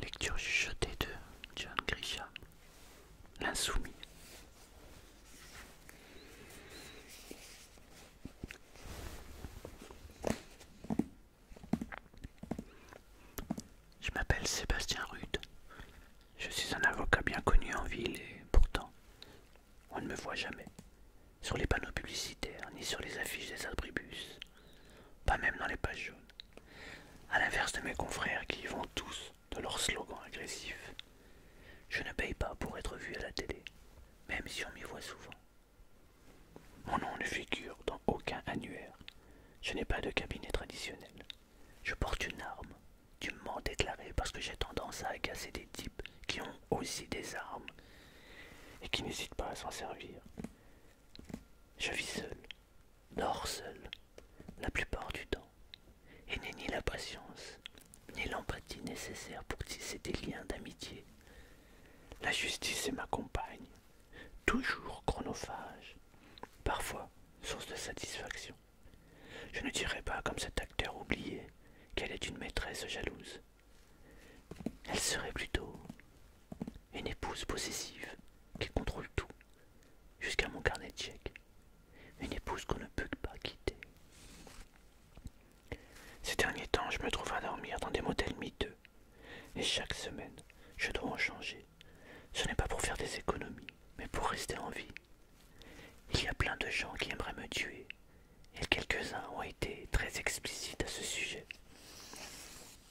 Lecture chuchotée de John Grisha, l'insoumis. Je m'appelle Sébastien Rude. Je suis un avocat bien connu en ville et pourtant on ne me voit jamais. Sur les panneaux publicitaires, ni sur les affiches des abribus, pas même dans les pages jaunes. À l'inverse de mes confrères qui y vont tous de leurs slogans agressifs, Je ne paye pas pour être vu à la télé, même si on m'y voit souvent. Mon nom ne figure dans aucun annuaire. Je n'ai pas de cabinet traditionnel. Je porte une arme dûment déclaré parce que j'ai tendance à agacer des types qui ont aussi des armes et qui n'hésitent pas à s'en servir. Je vis seul, dors seul, la plupart du temps, et n'ai ni la patience, ni l'empathie nécessaire pour tisser des liens d'amitié. La justice est ma compagne, toujours chronophage, parfois source de satisfaction, je ne dirais pas, comme cet acteur oublié, qu'elle est une maîtresse jalouse. Elle serait plutôt une épouse possessive qui contrôle tout, jusqu'à mon carnet de chèques. Une épouse qu'on ne peut pas quitter. Ces derniers temps, je me trouve à dormir dans des modèles miteux. Et chaque semaine, je dois en changer. Ce n'est pas pour faire des économies, mais pour rester en vie il y a plein de gens qui aimeraient me tuer, et quelques-uns ont été très explicites à ce sujet.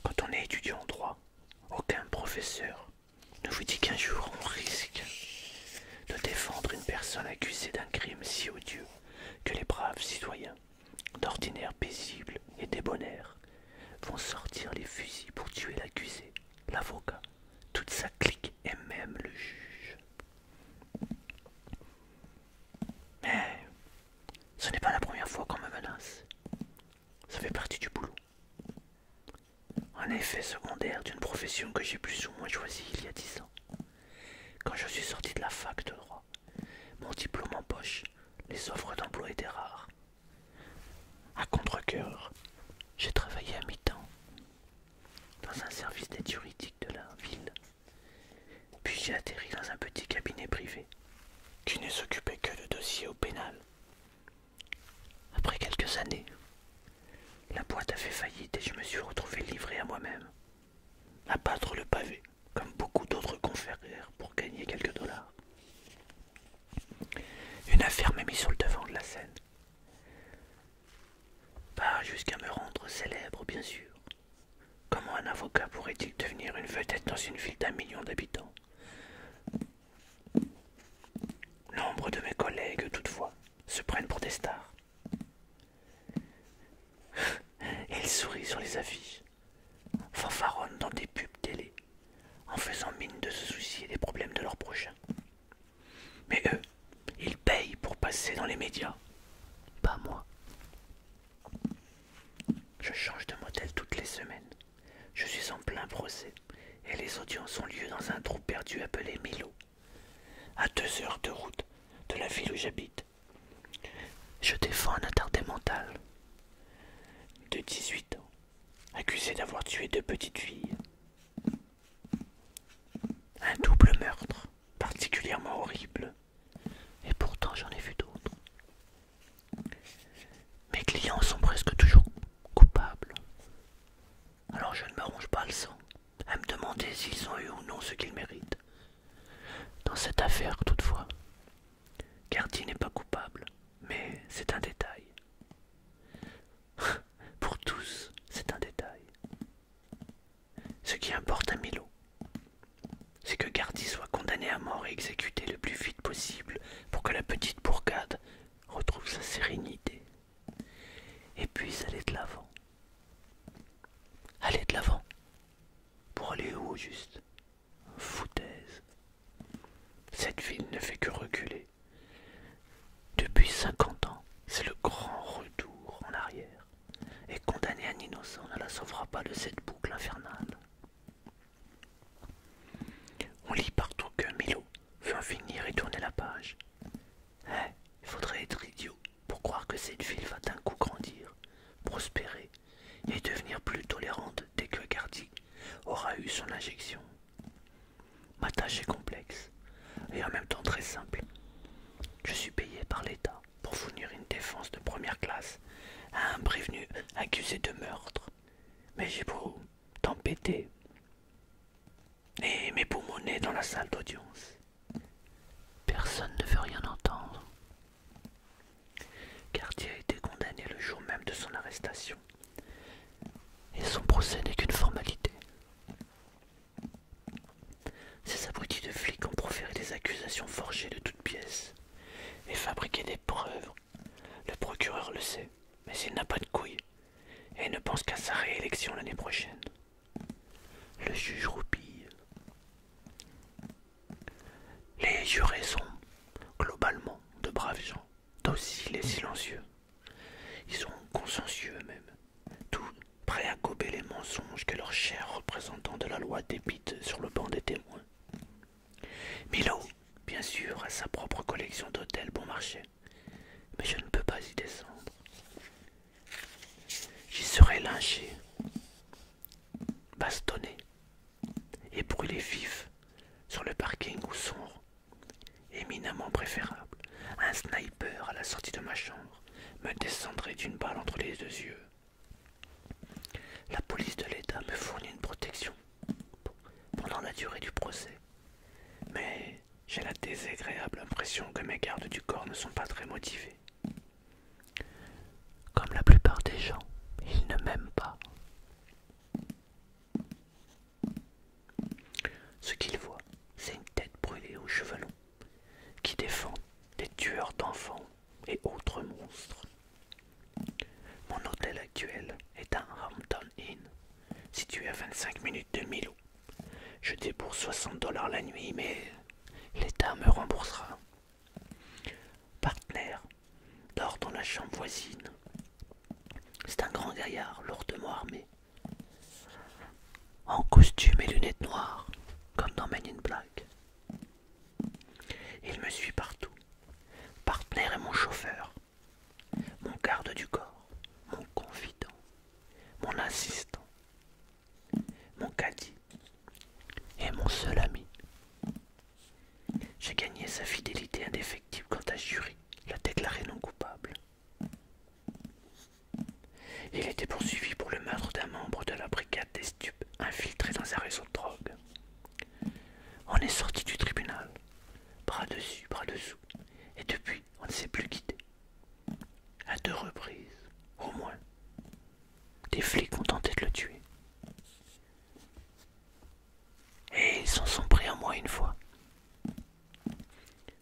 Quand on est étudiant en droit, aucun professeur ne vous dit qu'un jour on risque de défendre une personne accusée d'un crime si odieux que les braves citoyens, d'ordinaire paisibles et débonnaires, vont sortir les fusils pour tuer l'accusé, l'avocat, toute sa clique et même le juge. Mais ce n'est pas la première fois qu'on me menace. Ça fait partie du boulot. Un effet secondaire d'une profession que j'ai plus ou moins choisie il y a dix ans. Quand je suis sorti de la fac de droit, mon diplôme en poche, les offres d'emploi étaient rares. À contre j'ai travaillé à mi-temps dans un service d'aide juridique de la ville. Puis j'ai atterri dans un petit cabinet privé qui ne s'occupait que de dossiers au pénal. Après quelques années, la boîte a fait faillite et je me suis retrouvé livré à moi-même, à battre le pavé, comme beaucoup d'autres conférères pour gagner quelques dollars. Une affaire m'a mis sur le devant de la scène. Pas jusqu'à me rendre célèbre, bien sûr. Comment un avocat pourrait-il devenir une vedette dans une ville d'un million d'habitants Nombre de mes collègues, toutefois, se prennent pour des stars. Ils sourient sur les affiches, fanfaronnent dans des pubs télé, en faisant mine de se soucier des problèmes de leurs prochains, mais eux, ils payent pour passer dans les médias. Pas moi. Je change de modèle toutes les semaines. Je suis en plein procès et les audiences ont lieu dans un trou perdu appelé Milo, à deux heures de route de la ville où j'habite. Je défends un attardé mental de 18 ans, accusé d'avoir tué deux petites filles. Un double meurtre, particulièrement horrible. Et pourtant j'en ai vu d'autres. Mes clients sont presque toujours coupables. Alors je ne me ronge pas le sang à me demander s'ils ont eu ou non ce qu'ils méritent. Dans cette affaire toutefois, Carty n'est pas coupable, mais c'est un détail. Pour tous, c'est un détail. Ce qui importe à Milo, c'est que Gardi soit condamné à mort et exécuté le plus vite possible pour que la petite bourgade retrouve sa sérénité et puisse aller de l'avant. Aller de l'avant Pour aller où juste Foutaise. Cette ville ne fait que reculer. Depuis 50 ans, c'est le grand retour en arrière. Et condamner un innocent ne la sauvera pas de cette boucle infernale. On lit partout que Milo veut en finir et tourner la page. Eh, il faudrait être idiot pour croire que cette ville va d'un coup grandir, prospérer et devenir plus tolérante dès que Gardi aura eu son injection. Ma tâche est complexe et en même temps très simple. Je suis payé par l'État pour fournir une défense de première classe à un prévenu accusé de meurtre. Mais j'ai beau t'empêter et m'époumoner dans la salle d'audience. Personne ne veut rien entendre. Cartier a été condamné le jour même de son arrestation. Et son procès n'est qu'une formalité. Ces abrutis de flics ont proféré des accusations forgées de toutes pièces et fabriqué des preuves. Le procureur le sait, mais il n'a pas de couilles et ne pense qu'à sa réélection l'année prochaine. Le juge roupille. Les jurés sont, globalement, de braves gens, dociles et silencieux. Ils sont consciencieux mêmes tous prêts à gober les mensonges que leurs chers représentants de la loi débitent sur le banc des témoins. Milo, bien sûr, a sa propre collection d'hôtels bon marché, mais je ne peux pas y descendre. J'y serai lynché, bastonné et brûlé vif sur le parking où sont Éminemment préférable, un sniper à la sortie de ma chambre me descendrait d'une balle entre les deux yeux. La police de l'État me fournit une protection pendant la durée du procès. Mais j'ai la désagréable impression que mes gardes du corps ne sont pas très motivés. Comme la plupart des gens, ils ne m'aiment pas. Ce qu'il voit, c'est une tête brûlée aux cheveux longs, qui défend des tueurs d'enfants et autres monstres. Mon hôtel actuel est un Hampton Inn, situé à 25 minutes de Milo. Je débourse 60 dollars la nuit, mais l'État me remboursera. Partner dort dans la chambre voisine. C'est un grand gaillard lourdement armé en costume et lunettes noires, comme dans Men in Black. Il me suit partout. partenaire et mon chauffeur, mon garde du corps, mon confident, mon assistant, mon caddie et mon seul ami. J'ai gagné sa fidélité indéfectible quand à jury l'a déclaré non coupable. Il était poursuivi pour le meurtre d'un membre de la brigade des stupes infiltré dans un réseau de drogue. On est sorti du tribunal, bras dessus, bras dessous, et depuis on ne s'est plus quitté. À deux reprises, au moins, des flics ont tenté de le tuer. Et ils s'en sont pris à moi une fois.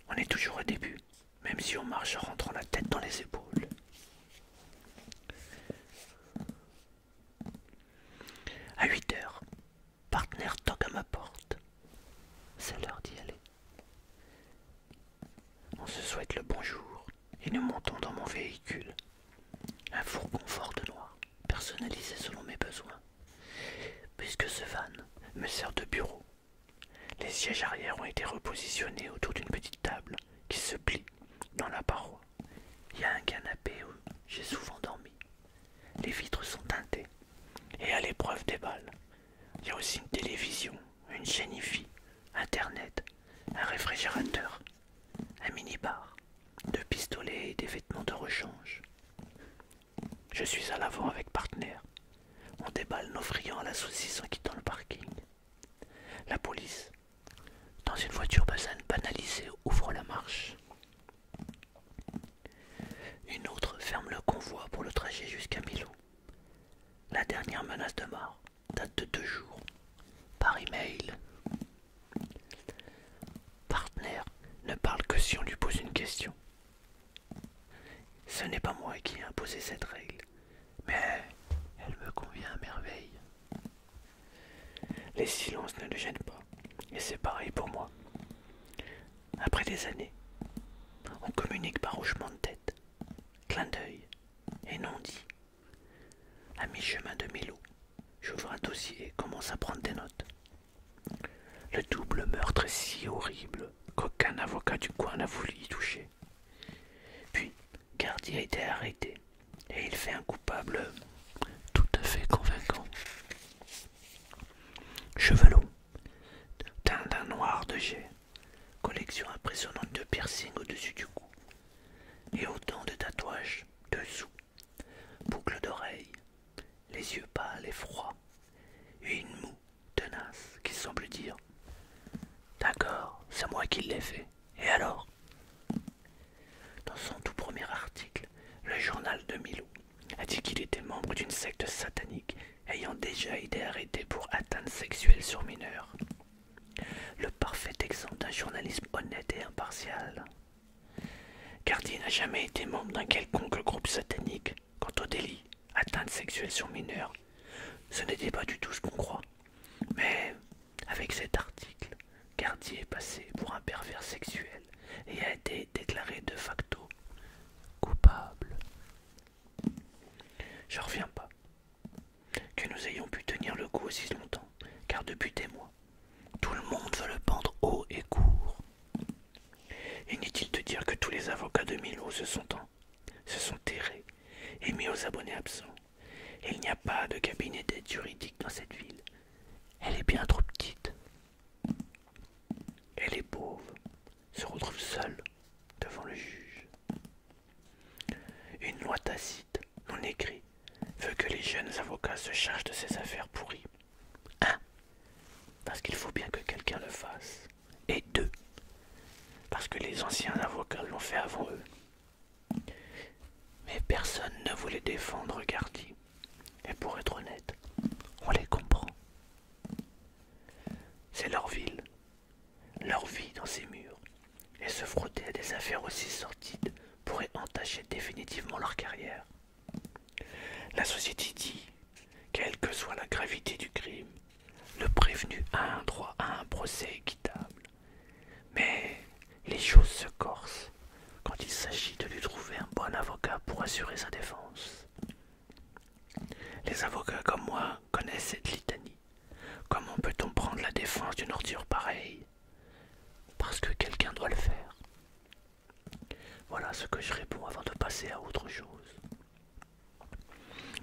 On est toujours au début, même si on marche en rentrant la tête dans les épaules. À 8 heures, partenaire toque à ma porte. C'est l'heure d'y aller. On se souhaite le bonjour et nous montons dans mon véhicule. Un fourgon fort de noir, personnalisé selon mes besoins, puisque ce van me sert de bureau les sièges arrière ont été repositionnés autour d'une petite table qui se plie dans la paroi. Il y a un canapé où j'ai souvent dormi. Les vitres sont teintées et à l'épreuve des balles. Il y a aussi une télévision, une chaîne IFI, internet, un réfrigérateur, un minibar, bar deux pistolets et des vêtements de rechange. Je suis à l'avant avec Partner. On déballe nos friands à la saucisse en quittant le parking. La police, dans une voiture basane banalisée, ouvre la marche. Une autre ferme le convoi pour le trajet jusqu'à Milo. La dernière menace de mort date de deux jours, par email. Partner ne parle que si on lui pose une question. Ce n'est pas moi qui ai imposé cette règle, mais elle me convient à merveille. Les silences ne le gênent pas, et c'est pareil pour moi. Après des années, on communique par hochement de tête, clin d'œil et non dit. À mi-chemin de Milo, j'ouvre un dossier et commence à prendre des notes. Le double meurtre est si horrible qu'aucun avocat du coin n'a voulu y toucher. Puis, Gardier a été arrêté et il fait un coupable tout à fait convaincant. Chevalot, teint d'un noir de jet, collection impressionnante de piercings au-dessus du cou et autant de tatouages dessous, boucles d'oreilles, les yeux pâles et froids une moue tenace, qui semble dire D'accord, c'est moi qui l'ai fait. Et alors Dans son tout premier article, le journal de Milou a dit qu'il était membre d'une secte satanique ayant déjà été arrêté pour atteinte sexuelle sur mineurs. Le parfait exemple d'un journalisme honnête et impartial. il n'a jamais été membre d'un quelconque groupe satanique Quant au délit, atteinte sexuelle sur mineur, ce n'était pas du tout ce qu'on croit. Mais avec cet article, Gardier est passé pour un pervers sexuel et a été déclaré de facto coupable. Je reviens pas que nous ayons pu tenir le coup aussi longtemps, car depuis des mois, tout le monde veut le pendre haut et court. Inutile de dire que tous les avocats de Milo se sont, en, se sont et mis aux abonnés absents. il n'y a pas de cabinet d'aide juridique dans cette ville. Elle est bien trop petite. Elle est pauvre se retrouve seuls devant le juge. Une loi tacite, non écrite, veut que les jeunes avocats se chargent de ces affaires pourries. Hein Parce qu'il faut bien que quelqu'un le fasse et deux, parce que les anciens avocats l'ont fait avant eux. Mais personne ne voulait défendre Carty, et pour être honnête, on les comprend. C'est leur ville, leur vie dans ces murs, et se frotter à des affaires aussi sordides pourrait entacher définitivement leur carrière. La société dit quelle que soit la gravité du crime, le prévenu a un droit à un procès équitable. Mais les choses se corsent quand il s'agit de lui trouver un bon avocat pour assurer sa défense. Les avocats comme moi connaissent cette litanie. Comment peut-on prendre la défense d'une ordure pareille Parce que quelqu'un doit le faire. Voilà ce que je réponds avant de passer à autre chose.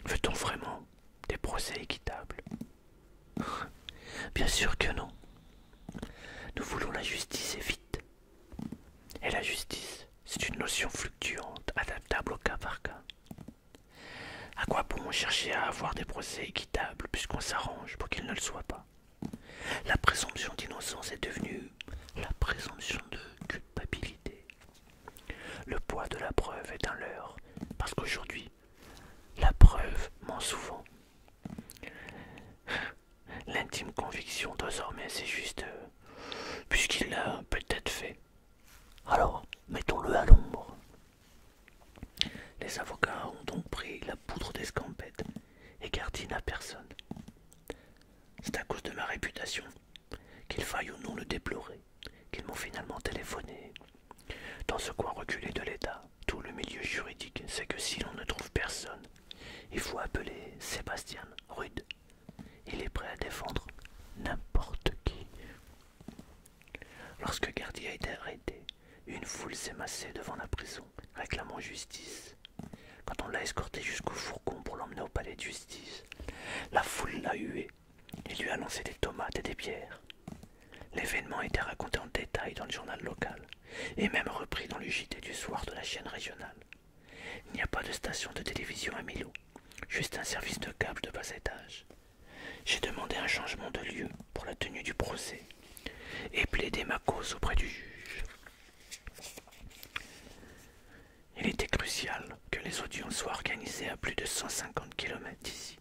Veut-on vraiment des procès équitables Bien sûr que non. Nous voulons la justice et vite. Et la justice, c'est une notion fluctuante, adaptable au cas par cas. À quoi bon chercher à avoir des procès équitables puisqu'on s'arrange pour qu'ils ne le soient pas La présomption d'innocence est devenue la présomption de culpabilité. Le poids de la preuve est un leurre, parce qu'aujourd'hui, la preuve ment souvent. L'intime conviction désormais, c'est juste euh, puisqu'il l'a peut-être fait. Alors, mettons-le à l'ombre. Les avocats ont donc pris la poudre d'escampette et Gardine à personne. C'est à cause de ma réputation, qu'il faille ou non le déplorer, qu'ils m'ont finalement téléphoné. Dans ce coin reculé de l'État, tout le milieu juridique sait que si l'on ne trouve personne, il faut appeler Sébastien Rude. Il est prêt à défendre n'importe qui. Lorsque Gardi a été arrêté, une foule s'est massée devant la prison, réclamant justice. Quand on l'a escorté jusqu'au fourgon pour l'emmener au palais de justice, la foule l'a hué et lui a lancé des tomates et des bières. L'événement a été raconté en détail dans le journal local et même repris dans le JT du soir de la chaîne régionale. Il n'y a pas de station de télévision à Milo, juste un service de câble de bas étage. J'ai demandé un changement de lieu pour la tenue du procès et plaidé ma cause auprès du juge. Il était crucial que les audiences soient organisées à plus de 150 km d'ici,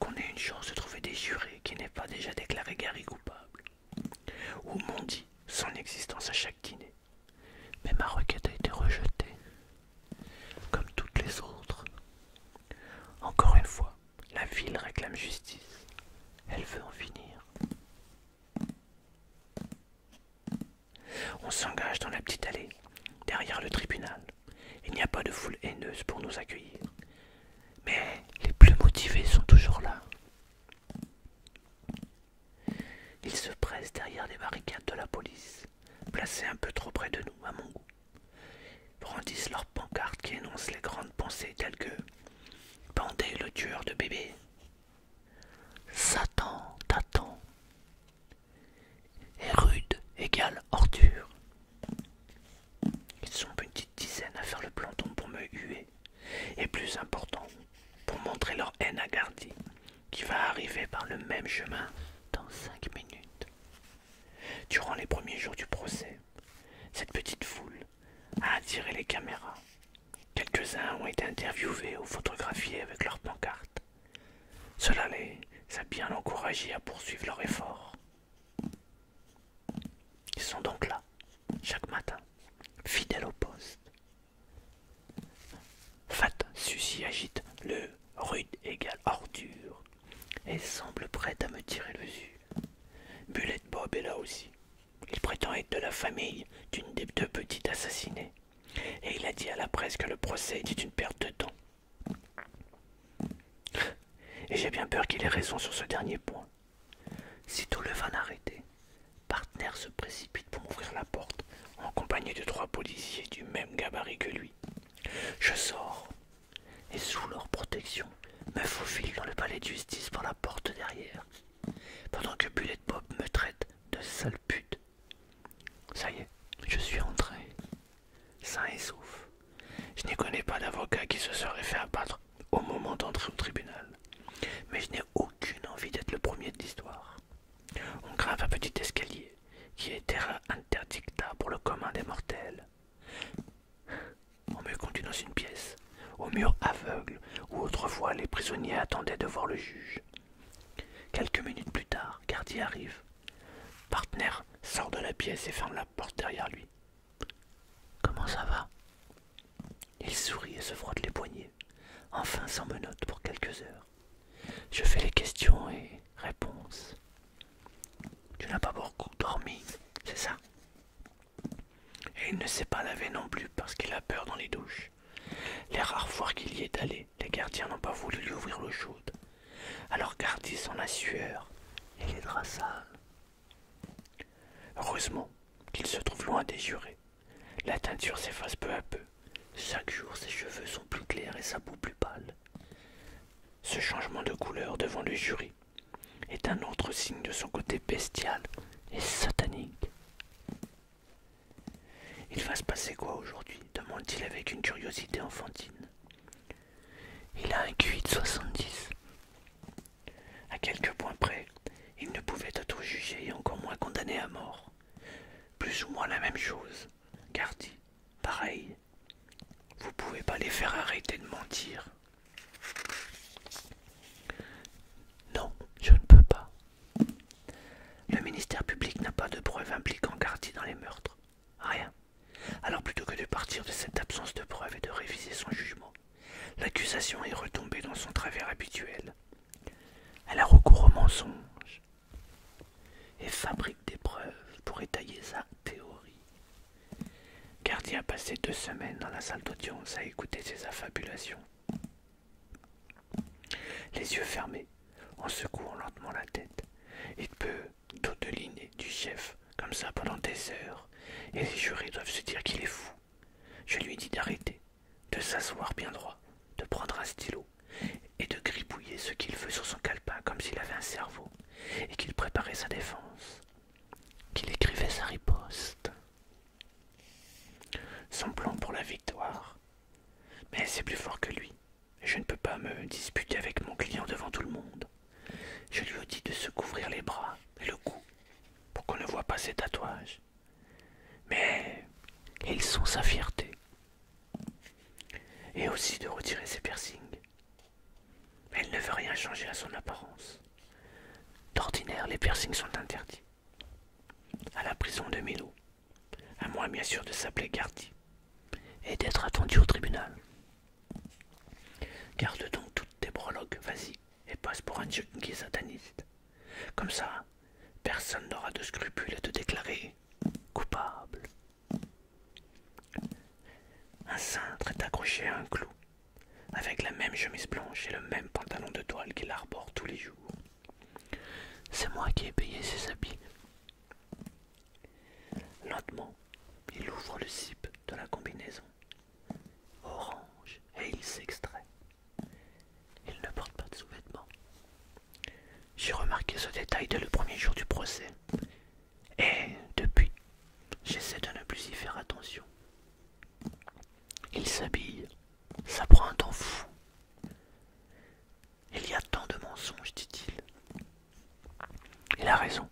qu'on ait une chance de trouver des jurés qui n'aient pas déjà déclaré Gary coupable, ou dit son existence à chaque dîner. Mais ma requête a été rejetée, comme toutes les autres. Encore une fois, la ville réclame justice. Elle veut en finir. On s'engage dans la petite allée, derrière le tribunal. Il n'y a pas de foule haineuse pour nous accueillir. Mais les plus motivés sont toujours là. Ils se pressent derrière les barricades de la police, placées un peu trop près de nous, à mon goût. Brandissent leurs pancartes qui énoncent les grandes pensées telles que Pendez le tueur de bébé, Satan t'attend. Et rude égale ordure. Ils sont une petite dizaine à faire le planton pour me huer. Et plus important, pour montrer leur haine à Gardi, qui va arriver par le même chemin dans cinq minutes. Durant les premiers jours du procès, cette petite foule a attiré les caméras Quelques-uns ont été interviewés ou photographiés avec leurs pancartes. Cela les a bien encouragés à poursuivre leur effort. Ils sont donc là, chaque matin, fidèles au poste. Fat Sucy agite le rude égal ordure et semble prête à me tirer le dessus. Bullet Bob est là aussi. Il prétend être de la famille d'une des deux petites assassinées. Et il a dit à la presse que le procès était une perte de temps. Et j'ai bien peur qu'il ait raison sur ce dernier point. tout le van arrêté, Partner se précipite pour ouvrir la porte, en compagnie de trois policiers du même gabarit que lui. Je sors, et sous leur protection, me faufile dans le palais de justice par la porte derrière, pendant que Bullet Bob me traite de sale pute. Ça y est, je suis entré. Sain et sauf. Je n'y connais pas d'avocat qui se serait fait abattre au moment d'entrer au tribunal. Mais je n'ai aucune envie d'être le premier de l'histoire. On grave un petit escalier qui est terrain interdicta pour le commun des mortels. On me conduit dans une pièce, au mur aveugle où autrefois les prisonniers attendaient de voir le juge. Quelques minutes plus tard, Gardier arrive. Partner sort de la pièce et ferme la porte derrière lui. Comment ça va Il sourit et se frotte les poignets, enfin sans menottes pour quelques heures. Je fais les questions et réponses. Tu n'as pas beaucoup dormi, c'est ça Et il ne s'est pas lavé non plus parce qu'il a peur dans les douches. Les rares fois qu'il y est allé, les gardiens n'ont pas voulu lui ouvrir le chaude. Alors Gardis en la sueur et les draps sales. Heureusement qu'il se trouve loin des jurés. La teinture s'efface peu à peu. Chaque jour, ses cheveux sont plus clairs et sa boue plus pâle. Ce changement de couleur devant le jury est un autre signe de son côté bestial et satanique. Il va se passer quoi aujourd'hui demande-t-il avec une curiosité enfantine. Il a un QI de 70. À quelques points près, il ne pouvait être jugé et encore moins condamné à mort. Plus ou moins la même chose. Gardi, pareil. Vous pouvez pas les faire arrêter de mentir. Non, je ne peux pas, le ministère public n'a pas de preuves impliquant Gardi dans les meurtres. Rien. Alors plutôt que de partir de cette absence de preuves et de réviser son jugement, l'accusation est retombée dans son travers habituel. Elle a recours au mensonge et fabrique des preuves pour étayer sa théorie. Cartier a passé deux semaines dans la salle d'audience à écouter ses affabulations. Les yeux fermés, en secouant lentement la tête, il peut tauteliner du chef comme ça pendant des heures, et les jurés doivent se dire qu'il est fou. Je lui dis d'arrêter, de s'asseoir bien droit, de prendre un stylo, et de gribouiller ce qu'il veut sur son calepin comme s'il avait un cerveau, et qu'il préparait sa défense, qu'il écrivait sa riposte. Son plan pour la victoire. Mais c'est plus fort que lui. Je ne peux pas me disputer avec mon client devant tout le monde. Je lui ai dit de se couvrir les bras et le cou pour qu'on ne voit pas ses tatouages. Mais ils sont sa fierté. Et aussi de retirer ses piercings. Mais Elle ne veut rien changer à son apparence. D'ordinaire, les piercings sont interdits à la prison de Milo, à moi bien sûr de s'appeler Gardi, et d'être attendu au tribunal. Garde donc toutes tes prologues, vas-y, et passe pour un junkie sataniste. Comme ça, personne n'aura de scrupules à te déclarer coupable. Un cintre est accroché à un clou, avec la même chemise blanche et le même pantalon de toile qu'il arbore tous les jours. C'est moi qui ai payé ses habits. Lentement, il ouvre le cip de la combinaison. Orange, et il s'extrait. Il ne porte pas de sous-vêtements. J'ai remarqué ce détail dès le premier jour du procès. Et depuis, j'essaie de ne plus y faire attention. Il s'habille ça prend un temps fou. Il y a tant de mensonges, dit-il. Il a raison.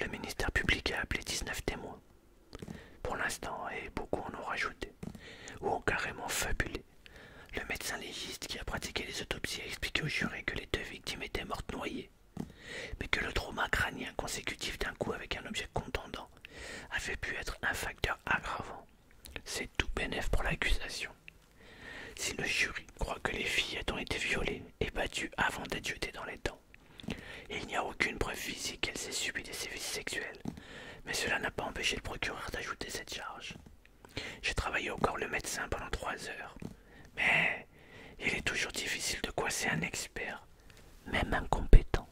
Le ministère public a appelé 19 témoins. Pour l'instant, et beaucoup en ont rajouté, ou ont carrément fabulé. Le médecin légiste qui a pratiqué les autopsies a expliqué au juré que les deux victimes étaient mortes noyées, mais que le trauma crânien consécutif d'un coup avec un objet contendant avait pu être un facteur aggravant. C'est tout bénéfice pour l'accusation. Si le jury croit que les filles ont été violées et battues avant d'être jetées dans les dents, il n'y a aucune preuve physique qu'elles aient subi des sévices sexuels, mais cela n'a pas empêché le procureur d'ajouter cette charge. J'ai travaillé encore le médecin pendant trois heures, mais il est toujours difficile de coincer un expert, même incompétent,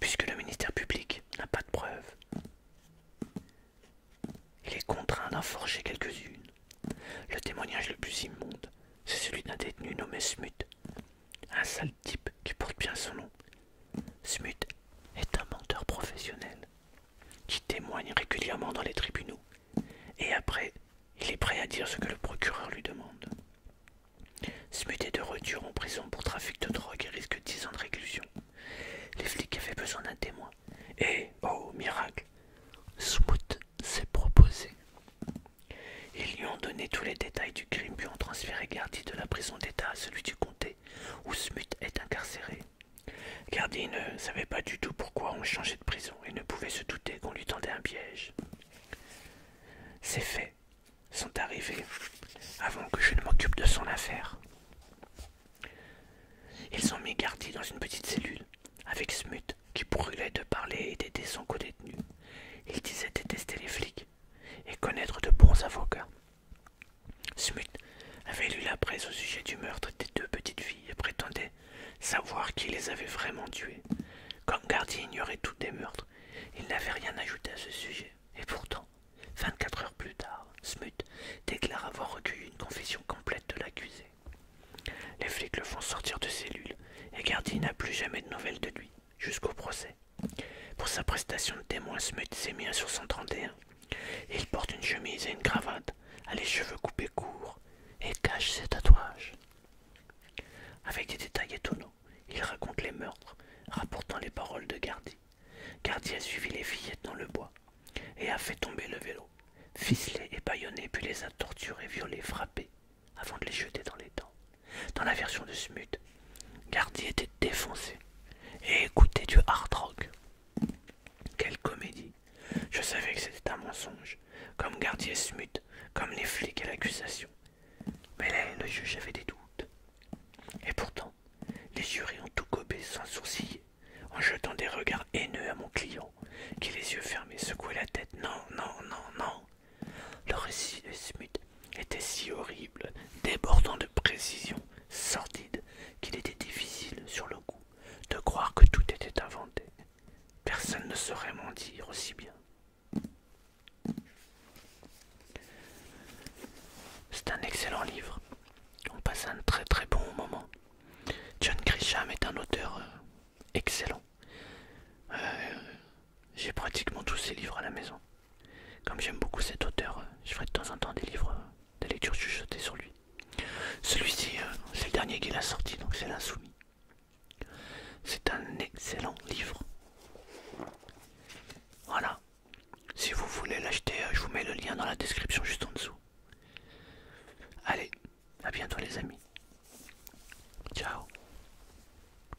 puisque le ministère public n'a pas de preuves. Il est contraint d'en forger quelques-unes. Le témoignage le plus immonde, c'est celui d'un détenu nommé Smut, un sale type qui porte bien son nom. Smut est un menteur professionnel qui témoigne régulièrement dans les tribunaux, et après, il est prêt à dire ce que le procureur lui demande. Smut est de retour en prison pour trafic de drogue et risque dix ans de réclusion. Les flics avaient besoin d'un témoin. Et, oh miracle, Smut s'est proposé. Ils lui ont donné tous les détails du crime puis ont transféré Gardy de la prison d'État à celui du comté où Smut est incarcéré. Gardy ne savait pas du tout pourquoi on changeait de prison et ne pouvait se douter qu'on lui tendait un piège. C'est fait sont arrivés avant que je ne m'occupe de son affaire. Ils ont mis Gardy dans une petite cellule avec Smut qui brûlait de parler et d'aider son codétenu. Il disait détester les flics et connaître de bons avocats. Smut avait lu la presse au sujet du meurtre des deux petites filles et prétendait savoir qui les avait vraiment tuées. Comme Gardy ignorait tous des meurtres, il n'avait rien ajouté à ce sujet. Et pourtant, 24 heures plus tard, Smut déclare avoir recueilli une confession complète de l'accusé. Les flics le font sortir de cellule et Gardy n'a plus jamais de nouvelles de lui, jusqu'au procès. Pour sa prestation de témoin, Smut s'est mis à sur 131. Il porte une chemise et une cravate, a les cheveux coupés courts et cache ses tatouages. Avec des détails étonnants, il raconte les meurtres, rapportant les paroles de Gardi. Gardy a suivi les fillettes dans le bois et a fait tomber le vélo, ficelé et bâillonné, puis les a torturés, violés, frappés, avant de les jeter dans les dents. Dans la version de Smut, Gardi était défoncé et écoutait du hard rock. Quelle comédie Je savais que c'était un mensonge, comme Gardy et Smut, comme les flics et l'accusation. Mais là, le juge avait des doutes. Et pourtant, les jurés ont tout gobé sans sourciller, en jetant des regards haineux à mon client, qui les yeux fermés secouait la tête. Non, non, non, non. Le récit de Smith était si horrible, débordant de précisions, sordide, qu'il était difficile, sur le coup, de croire que tout était inventé. Personne ne saurait mentir aussi bien. C'est un excellent livre. On passe un très très bon moment. John Grisham est un auteur euh, excellent. Euh, j'ai pratiquement tous ses livres à la maison. Comme j'aime beaucoup cet auteur, euh, je ferai de temps en temps des livres de lecture chuchotée sur lui. Celui-ci, c'est le dernier qu'il a sorti, donc c'est l'insoumis. C'est un excellent livre. Voilà. Si vous voulez l'acheter, euh, je vous mets le lien dans la description juste en dessous. Allez, à bientôt les amis. Ciao.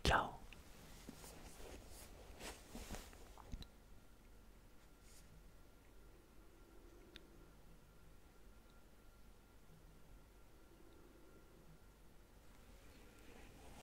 Ciao.